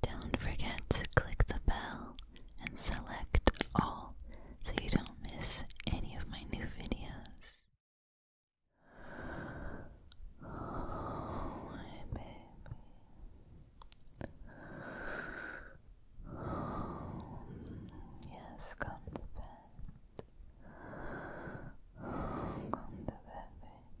Don't forget to click the bell and select all so you don't miss any of my new videos. Oh, my baby. yes, come to bed. come to bed, baby.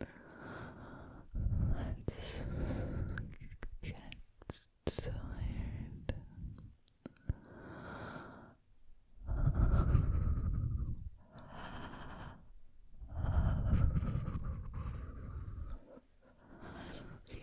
I us get tired. I love you. I love you. I love you.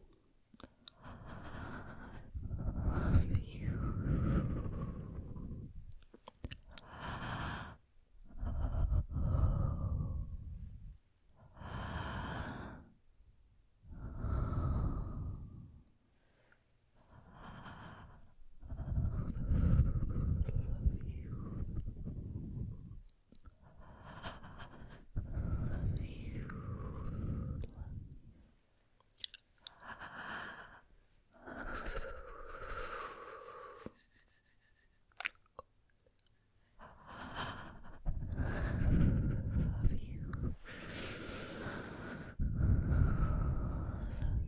love you. Love you. Love you. Love you. Love you. Love you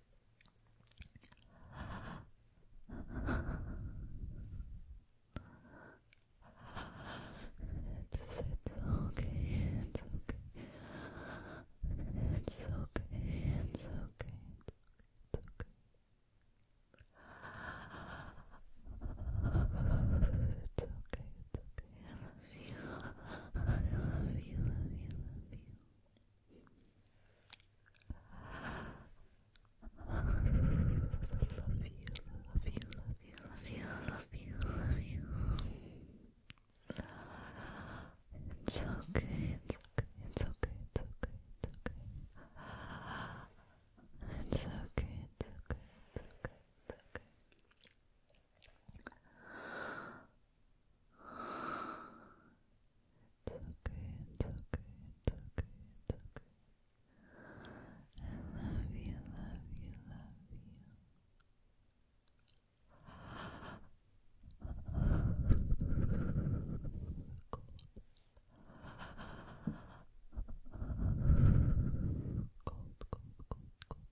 It's, okay, it's okay. It's okay, it's okay, it's okay, it's okay. It's okay, it's okay. love you, love you, love you love you, love you, love you, love you, love you. It's okay, it's okay, it's okay, it's okay, it's okay. It's okay, it's okay, it's okay, it's okay. It's okay, it's okay, it's okay, it's okay. love you, love you, love you. Cold, cold, cold, cold, cold.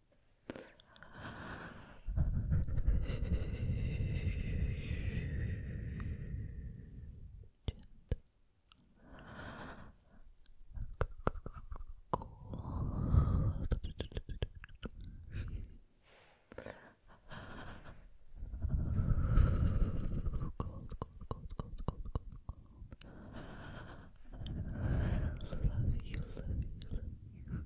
Cold, cold, cold, cold, cold, cold. Love you, love you, love you.